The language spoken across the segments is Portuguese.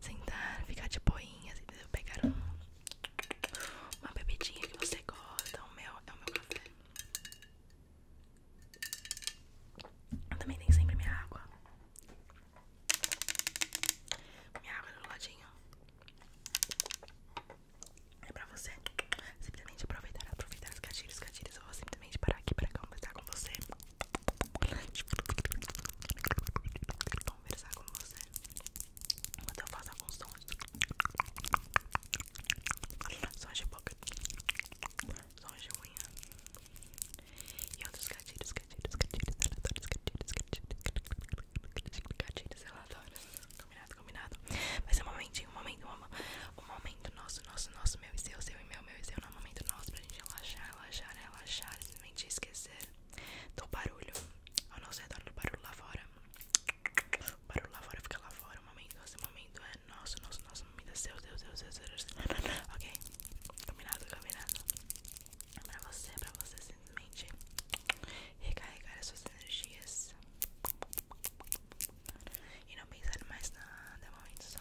sentar, ficar de boinha, assim, Pegar uma bebidinha que você gosta, o meu é o meu café. Eu também tenho sempre minha água. Minha água do ladinho. É pra você simplesmente aproveitar, aproveitar os gatilhos, os gatilhos. Eu vou simplesmente parar aqui pra conversar com você. Vou conversar com você Enquanto eu faço alguns sons Sons de boca Sons de unha E outros gatilhos, gatilhos, gatilhos Relatórios, gatilhos, gatilhos Gatilhos, relatórios Combinado, combinado Vai ser um momentinho, um momento, um, momento nosso, nosso, nosso Meu e seu, seu e meu, meu e seu Não, um momento nosso pra gente relaxar, relaxar, relaxar simplesmente esquecer do então, barulho ao nosso redor, do barulho lá fora. O barulho lá fora fica lá fora. O momento, esse momento é nosso, nosso, nosso momento é seu, Deus, Deus, Deus, Deus. Ok? Combinado, combinado. Pra você, pra você simplesmente recarregar as suas energias e não pensar mais nada, é momento só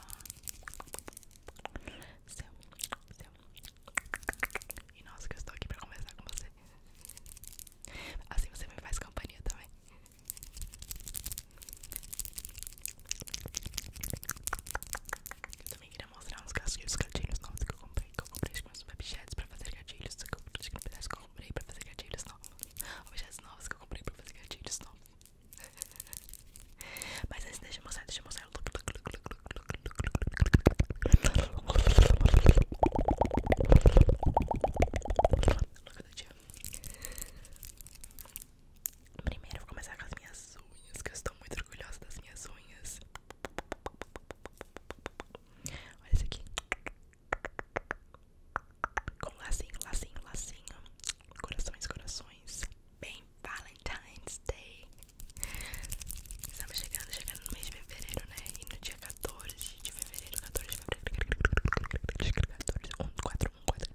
e nossa, que eu estou aqui para conversar com você. Assim você me faz companhia também. também queria mostrar uns gatilhos, novos que eu comprei. Que eu comprei com meus objetos para fazer gatilhos. Que eu comprei para fazer gatilhos novos. Objetos novos que eu comprei para fazer gatilhos novos. Mas antes, deixa eu mostrar, deixa eu mostrar. Primeiro vou começar com as minhas unhas, que eu estou muito orgulhosa das minhas unhas. Olha isso aqui. Com lacinho, lacinho, lacinho. Corações, corações. Bem Valentine's Day. Estamos chegando, chegando no mês de fevereiro, né? E no dia 14 de fevereiro, 14 de fevereiro, 14, 1, 4, 1, 4.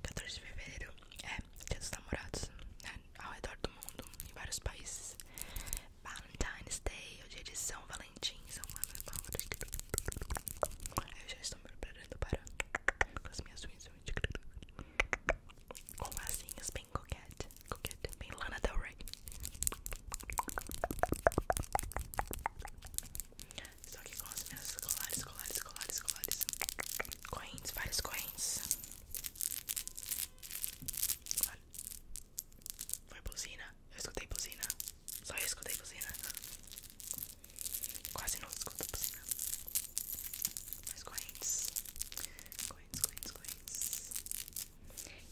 Quatorze de fevereiro é dia dos namorados, né? ao redor do mundo, em vários países. Valentine's Day, o dia de São Valentim, são meus Eu já estou me preparando para com as minhas unhas com asinhas bem coquete, coquete, bem Lana Del Rey. só que com as minhas colares, colares, colares, colares, correntes, várias correntes. Foi buzina. Eu escutei buzina. Só eu escutei buzina. Quase não escuto buzina. Mas correntes. Correntes, correntes, correntes.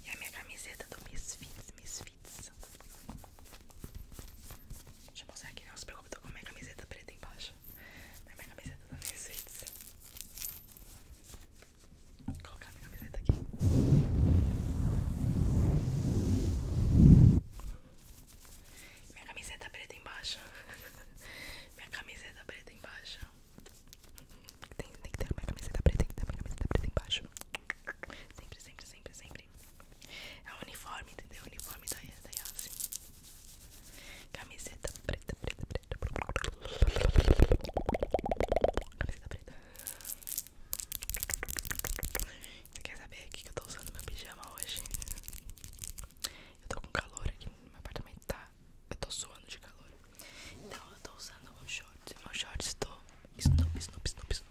E a minha camiseta do Misfits, Misfits. Deixa eu mostrar aqui, não se preocupe, tô com a minha camiseta preta embaixo. A minha camiseta do Misfits. Vou colocar minha camiseta aqui. Minha camiseta preta embaixo. minha camiseta preta embaixo. Tem, tem que ter minha camiseta preta, tem que ter minha camiseta preta embaixo. Sempre, sempre, sempre, sempre. É o uniforme, entendeu? O uniforme da, da Yassi. Camiseta preta, preta, preta. Camiseta preta. Você quer saber o que eu tô usando meu pijama hoje? Eu tô com calor aqui no meu apartamento, tá? Eu tô suando de calor. Então eu tô usando um shorts. Meu shorts tô snoop, snoop, snoop, snoop.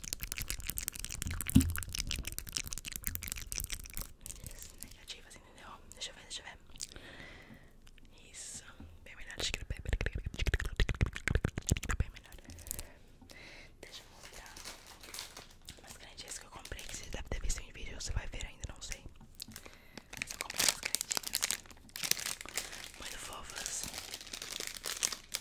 Negativas, entendeu? Deixa eu ver, deixa eu ver. Isso, bem melhor. Deixa eu mostrar. Mas canetinhas que eu comprei, que você deve ter visto em vídeo, você vai ver ainda, não sei. Mas eu comprei umas canetinhas muito fofas. Vamos abrir, vamos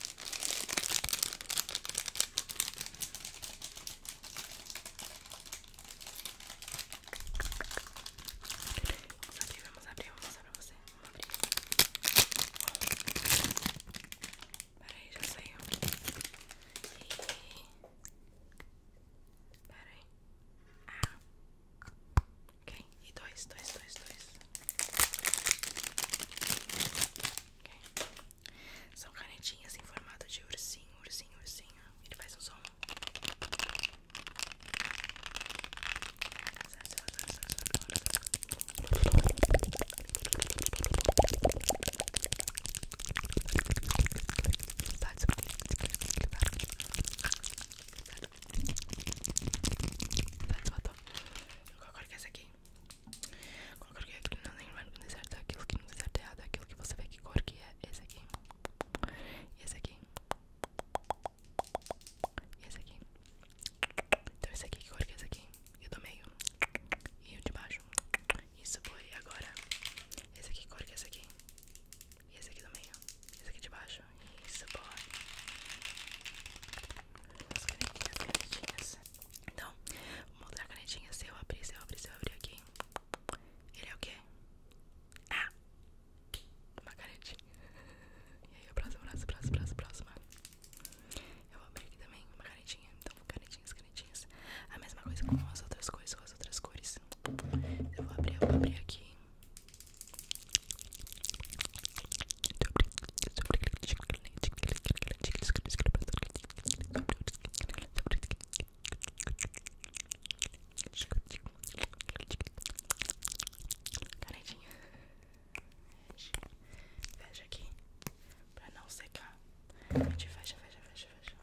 abrir, vamos abrir pra você. Vamos abrir. Peraí, já saiu. E... Peraí. Ah. Ok. E dois, dois, dois, dois. São canetinhas em formato de ursinho, ursinho, ursinho. Ele faz um som. Qual cor que é essa aqui? Qual cor que é não tem branco no deserto? Aquilo que no deserto é errado, aquilo que você vê que cor que é esse aqui. Esse aqui. Esse aqui. Então esse aqui, que cor que é esse aqui? E o do meio. E o de baixo. Isso foi agora. Esse aqui, que cor que é esse aqui? E esse aqui do meio. Esse aqui de baixo. Isso, foi as canetinhas, canetinhas. Então, vou mostrar a canetinha. Se eu abrir, se eu abrir, se eu abrir aqui. Ele é o que Ah! Uma canetinha. E aí, a próxima, próxima, próxima, próxima. Eu vou abrir aqui também uma canetinha. Então, canetinhas, canetinhas. A mesma coisa com as outras coisas, com as outras cores. Eu vou abrir, eu vou abrir aqui. Canetinha. Fecha aqui pra não secar. A gente fecha, fecha, fecha, fecha.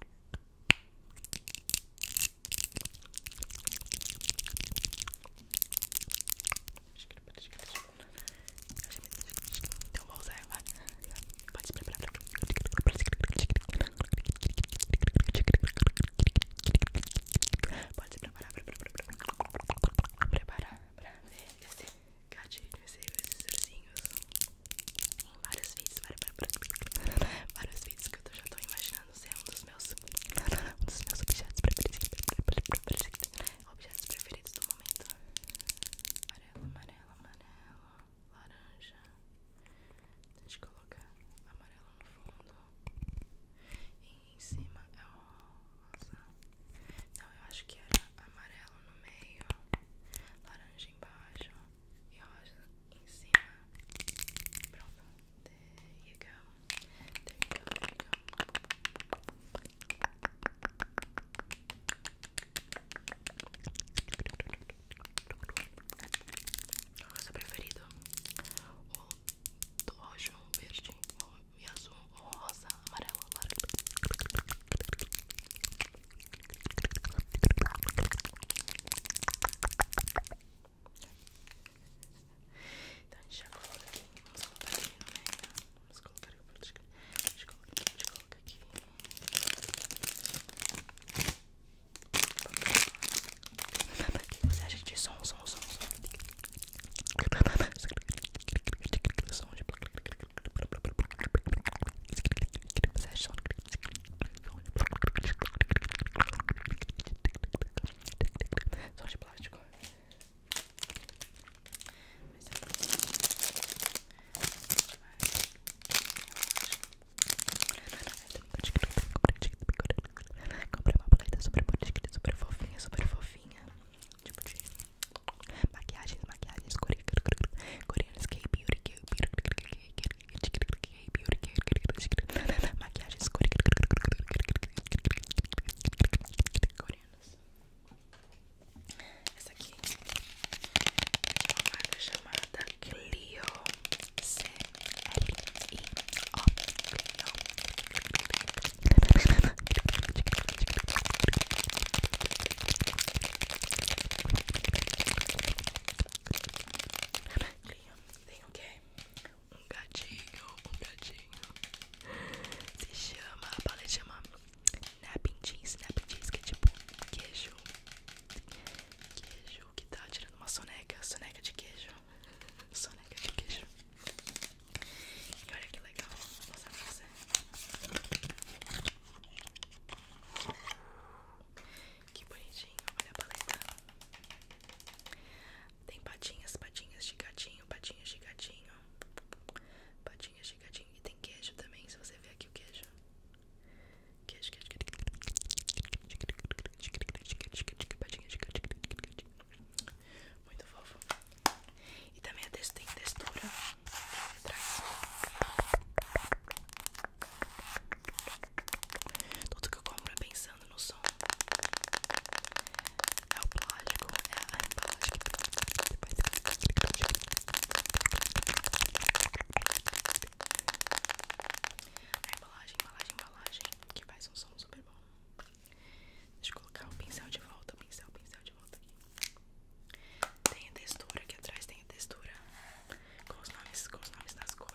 Então vou usar vai. Pode se preparar Pode se preparar Preparar pra ver esse gatilho Esses ursinhos Em vários vídeos Vários vídeos que eu já tô imaginando ser um dos meus Um dos meus objetos preferidos Objetos preferidos do mundo Amarelo, amarelo, amarelo, laranja. Deixa eu colocar amarelo no fundo. E em cima é rosa. Então eu acho que era amarelo no meio, laranja embaixo e rosa em cima. Pronto. There you go. There you go, there you go. Nossa preferido O roxo, o verde o, E azul, rosa, amarelo, Então a gente já aqui Vamos colocar aqui Vamos colocar aqui pra descrever. A gente coloca aqui, a gente coloca aqui. O que você acha de som, som, som? Som de. Você acha som? Som de plástico. Mas eu Comprei uma paleta super bonita, super fofinha, super fofinha. Tipo de maquiagens, maquiagens, coreanas, K-beauty, K-beauty, maquiagens coreanas. Essa aqui é uma marca chamada Clio C L I O Clio Tem o que? Um gatinho, um gatinho Se chama, a paleta chama napping jeans, napping jeans que é tipo queijo, queijo que tá tirando uma soneca, soneca de queijo, soneca de queijo. E olha que legal, vou mostrar Que bonitinho, olha a paleta. Tem patinhas, patinhas de gatinho, patinhas de gatinho. Patinhas e tem queijo também, se você ver aqui o queijo. Queijo, queijo, Muito fofo. E também tem textura atrás. Tudo que eu compro pensando no som. É o plástico, a embalagem A embalagem, embalagem, embalagem Que faz um som super bom Deixa eu colocar o pincel de volta O pincel, pincel de volta aqui Tem a textura, aqui atrás tem a textura Com os nomes, com os nomes das cores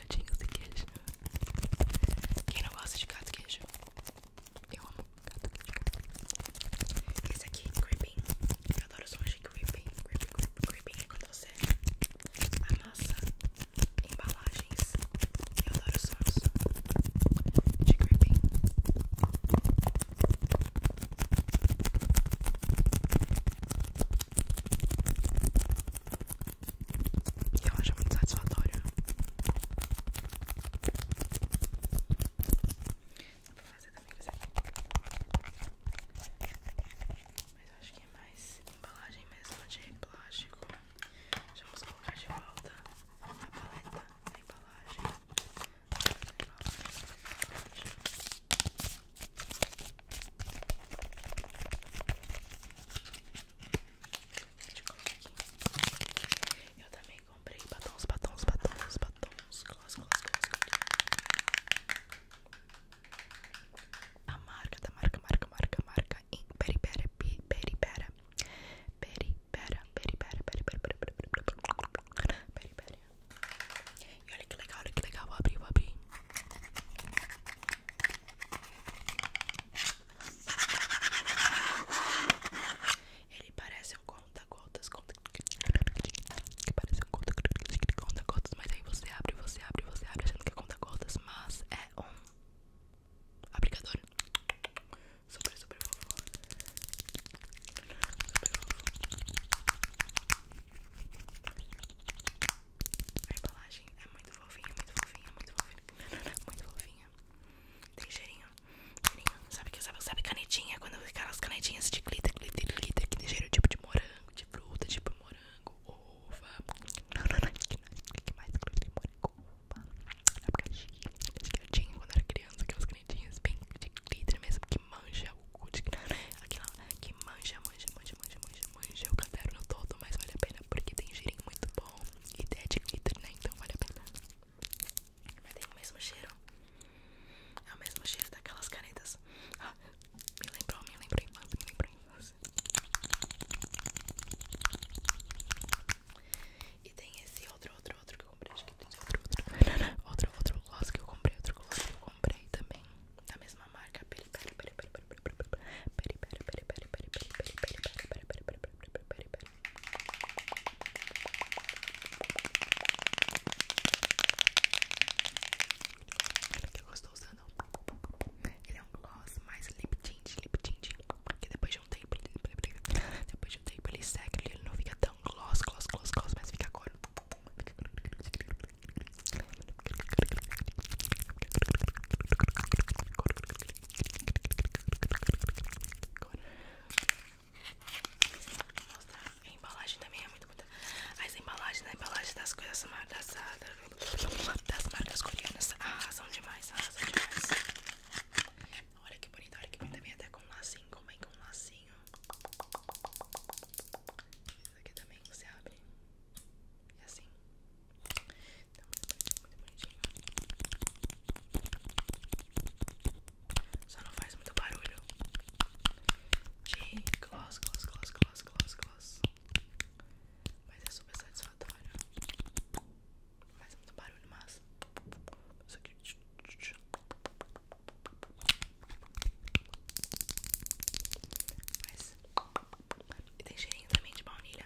quadradinhos de queijo. Quem não gosta de gato queijo? Eu amo gato Esse aqui, creeping. Eu adoro o som de creeping. Creeping, creeping é quando você amassa embalagens. Eu adoro os sons de creeping. E eu acho muito satisfatório. Dá pra fazer também com isso aqui. Mas eu acho que é mais embalagem mesmo de plástico. Já vamos colocar de volta a paleta na embalagem. A embalagem. A embalagem eu também comprei batons, batons, batons, batons. Gloss, gloss, gloss, A marca da marca, marca, marca, marca. peri pera peri pera peri pera peri pera E olha que legal, olha que legal. Vou abrir, ele parece um conta-gotas, conta que parece um conta-gotas, mas aí você abre, você abre, você abre achando que é conta-gotas, mas é um aplicador super, super fofo. Super fofo. A embalagem é muito fofinha, muito fofinha, muito fofinha, muito fofinha. Tem cheirinho, cheirinho. Sabe que sabe, sabe canetinha? Quando as canetinhas de glitter, glitter, glitter, que tem cheiro tipo de morango, de fruta, tipo morango, uva. Não, que, mais glitter, morango, uva. Abacaxi, que eu tinha quando era criança, aquelas canetinhas bem de glitter mesmo, que manja o cu Aquela que manja, manja, manja, manja, manja manjei o caderno todo, mas vale a pena porque tem girinho muito bom e é de glitter, né? Então vale a pena. Mas tem o mesmo cheiro. É o mesmo cheiro daquelas canetas. Ah, me lembrou, me lembrei, me lembrou E tem esse outro, outro, outro que eu comprei. Acho que tem outro, outro. Outro, outro gloss que eu comprei, outro gloss que eu comprei também. Da mesma marca, pera, pera, pera, pera, pera, pera, pera, pera, pera, pera, Olha o que eu estou usando. Né? Ele é um gloss mais lip tint, lip tint. Que depois de um tempo, depois de um tempo ele seca, ele não fica tão gloss, gloss, gloss, gloss, mas fica cor. Mostrar. A embalagem também é muito bonita. As embalagens, a embalagem das coisas das, ah, das marcas coreanas a ah, razão demais, arrasam ah, demais. Olha que bonita, olha que bonita. também até com um lacinho, como é que um lacinho? Isso aqui também você abre. E assim. Então você pode muito bonitinho. Só não faz muito barulho. De gloss, gloss, gloss, gloss, gloss, gloss. Mas é super satisfatório. Faz muito barulho, mas. Isso aqui. Mas. E tem cheirinho também de baunilha.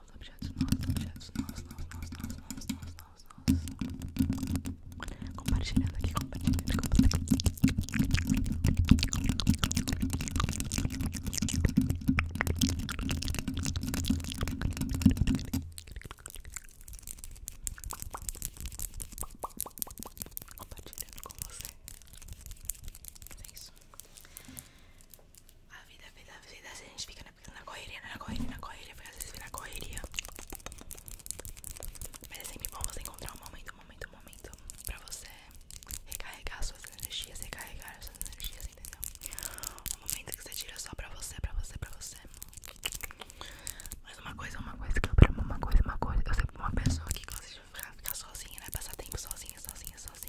nós, objetos nós, objetos nós, nós, nós, nós, nós, nós, nós, nós. Compartilhando aqui, compartilhando, compartilhando. Compartilhando com você. É isso a vida, a vida, a vida, a gente fica na, na correria, na correria, na correria, porque às vezes fica na correria. Mas é sempre bom você encontrar um momento, um momento, um momento pra você recarregar suas energias, recarregar suas energias, entendeu? Um momento que você tira só pra você, pra você, pra você. Mas uma coisa, uma coisa que eu uma coisa, uma coisa. Eu sempre uma pessoa aqui que você vai ficar, ficar sozinha, né? Passar tempo sozinha, sozinha, sozinha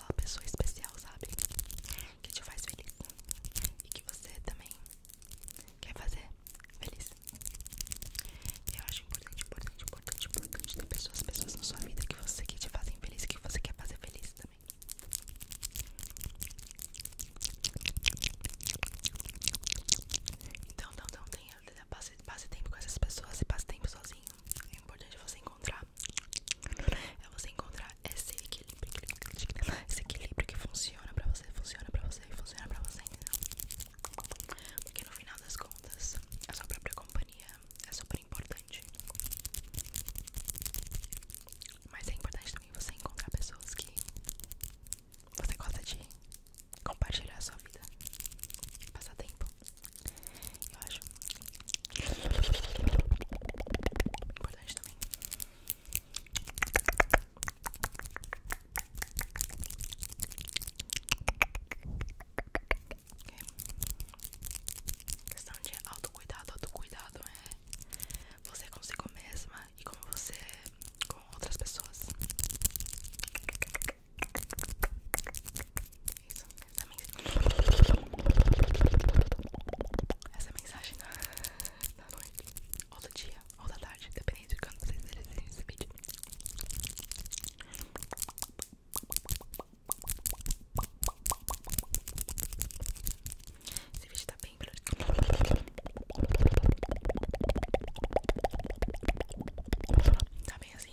uma pessoa especial, sabe? Que te faz feliz e que você também quer fazer feliz. Eu acho importante, importante, importante, importante ter pessoas, pessoas na sua vida que você que te fazem feliz, que você quer fazer feliz também. Então, não, não passe, passe tempo com essas pessoas e passe tempo sozinho é importante você encontrar é você encontrar esse equilíbrio, esse equilíbrio que funciona pra você, funciona pra você e funciona pra você, entendeu? Porque no final das contas, a sua própria companhia é super importante. Mas é importante também você encontrar pessoas que você gosta de compartilhar a sua vida, passar tempo. Eu acho importante também. Okay. Questão de autocuidado, autocuidado é você consigo mesma e como você com outras pessoas. Isso essa mensagem. da, noite, ou do dia, ou da tarde, dependendo de quando vocês verem esse vídeo. Esse vídeo tá bem Tá bem assim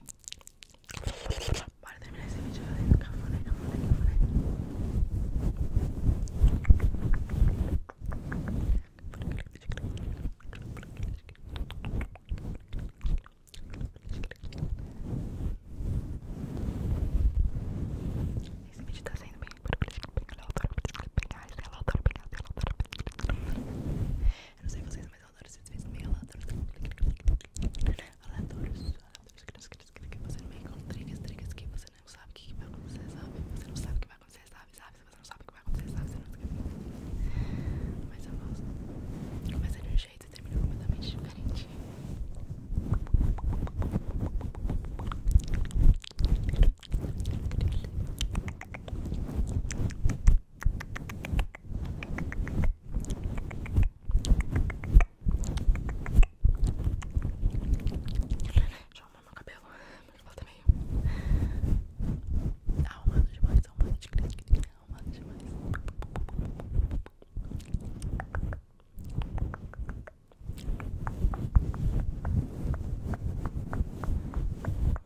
Bora terminar esse vídeo eu no cafuné, cafuné, cafuné. Esse vídeo tá saindo bem Eu não sei vocês, mas mas eu adoro esses vídeos meio aleatórios. Aleatórios, aleatórios, que você não meio com trigas, trigas que você não sabe o que vai acontecer, sabe? Você não sabe o que vai acontecer, sabe? Se você não sabe o que vai acontecer, sabe? Mas eu gosto. Começa de um jeito e termina completamente diferente. Deixa eu arrumar meu cabelo. Meu cabelo tá meio. Arrumado demais, arrumado de crítica, tá arrumado demais. Tá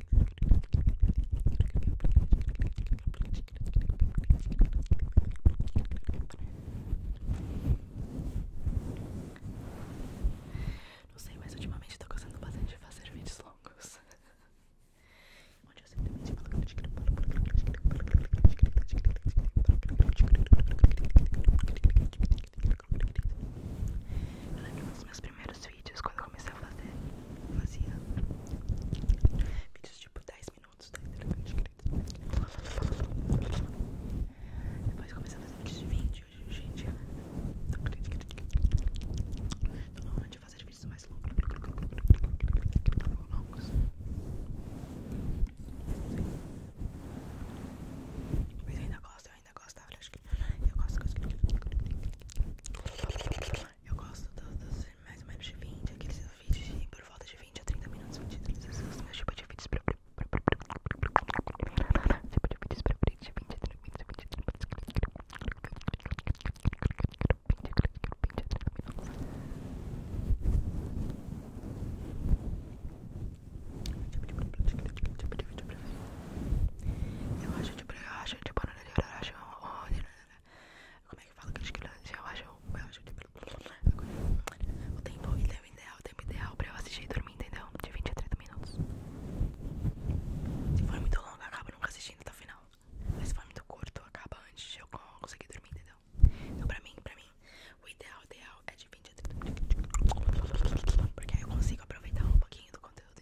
Não sei, mas ultimamente eu tô gostando bastante de fazer vídeos longos. Onde eu simplesmente falo. Eu lembro nos meus primeiros vídeos, quando eu comecei a fazer, fazia vídeos tipo 10 minutos, 10 tá Depois comecei a fazer vídeos de 20, hoje, gente, é. tô na hora de fazer vídeos mais longos. Tá longos. Mas ainda gosto, eu ainda gostava, acho que eu gosto, eu gosto dos, mais ou menos de 20, aqueles vídeos por volta de 20 a 30 minutos, 20 a 30 minutos, meu tipo de vídeos pra tipo de vídeos pra 20 a 30 minutos eu acho gente brigar, a gente banana de araxão, como é que fala que eles querem eu O tempo ideal, ideal, o tempo ideal pra eu assistir e dormir, entendeu? De 20 a 30 minutos. Se for muito longo, acaba nunca assistindo até o final. Mas se for muito curto, acaba antes de eu conseguir dormir, entendeu? Então pra mim, pra mim, o ideal, ideal é de 20 a 30 minutos. Porque aí eu consigo aproveitar um pouquinho do conteúdo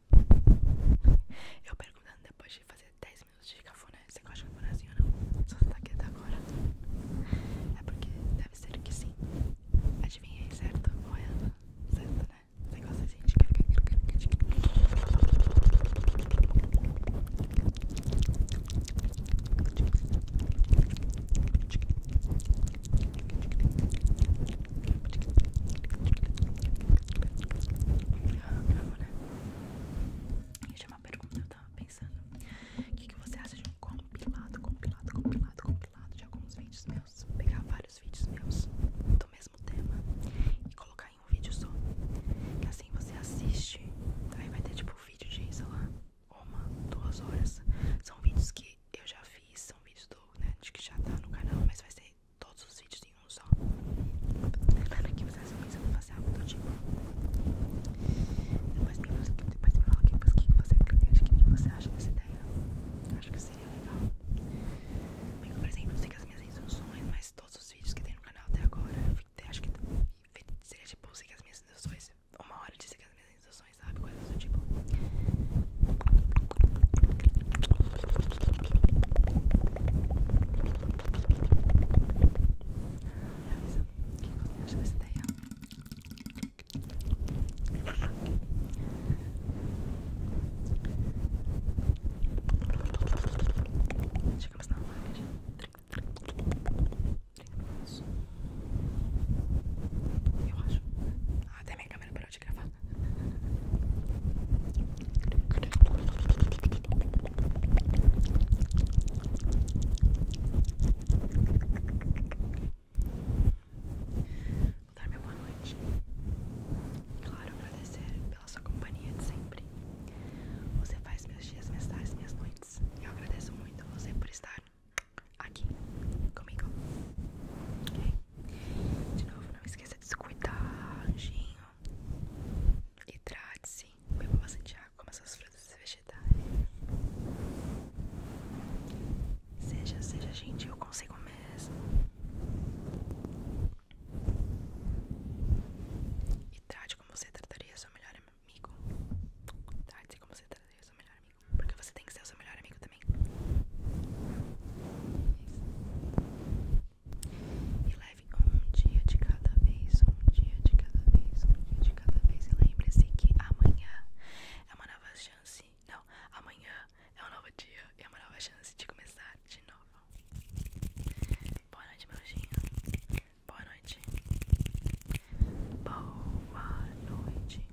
Eu perguntando depois de fazer 10 minutos de cafuné, você gosta de bonazinho ou não? Só você tá quieta agora. É porque deve ser que sim. Adivinhei, certo? Ou é errado? Certo, né? Você gosta de indicar. Não, né? Deixa uma pergunta, eu tava pensando. O que, você acha de um compilado, compilado, compilado, compilado de alguns vídeos meus? Pegar vários vídeos meus do mesmo tema e colocar em um vídeo só. Que assim você assiste, aí vai ter tipo um vídeo de, sei lá, uma, duas horas. São vídeos que eu já fiz, são vídeos do, né, de que já tá no canal, mas vai ser todos os vídeos em um só. Claro que vocês vão pensar fazer algo do tipo. Depois me fala que você acredita, o que você acha dessa ideia. acho que seria legal. Bem, por exemplo, siga as minhas instruções, mas todos os vídeos que tem no canal até agora, eu acho que seria tipo, siga as minhas instruções, uma hora de seguir as minhas instruções, sabe? Coisas do tipo acho que essa daí, ó. Chegamos na live. Eu acho. Ah, até minha câmera parou de gravar. dar meu boa noite. Claro, agradecer pela sua companhia de sempre. Você faz meus dias, minhas tardes, minhas noites. Eu agradeço muito a você por estar aqui comigo. Ok? De novo, não esqueça de se cuidar, anjinho. Hidrate-se, beba bastante água, coma suas frutas e vegetais. Seja, seja gente eu consigo mesmo. E trate como você trataria seu melhor amigo. Trate como você trataria seu melhor amigo. Porque você tem que ser o seu melhor amigo também. É isso. E leve um dia de cada vez, um dia de cada vez, um dia de cada vez. E lembre-se que amanhã é uma nova chance. Não, amanhã é um novo dia e é uma nova chance de começar de novo. Boa noite, meu anjinho. Boa noite. Boa noite.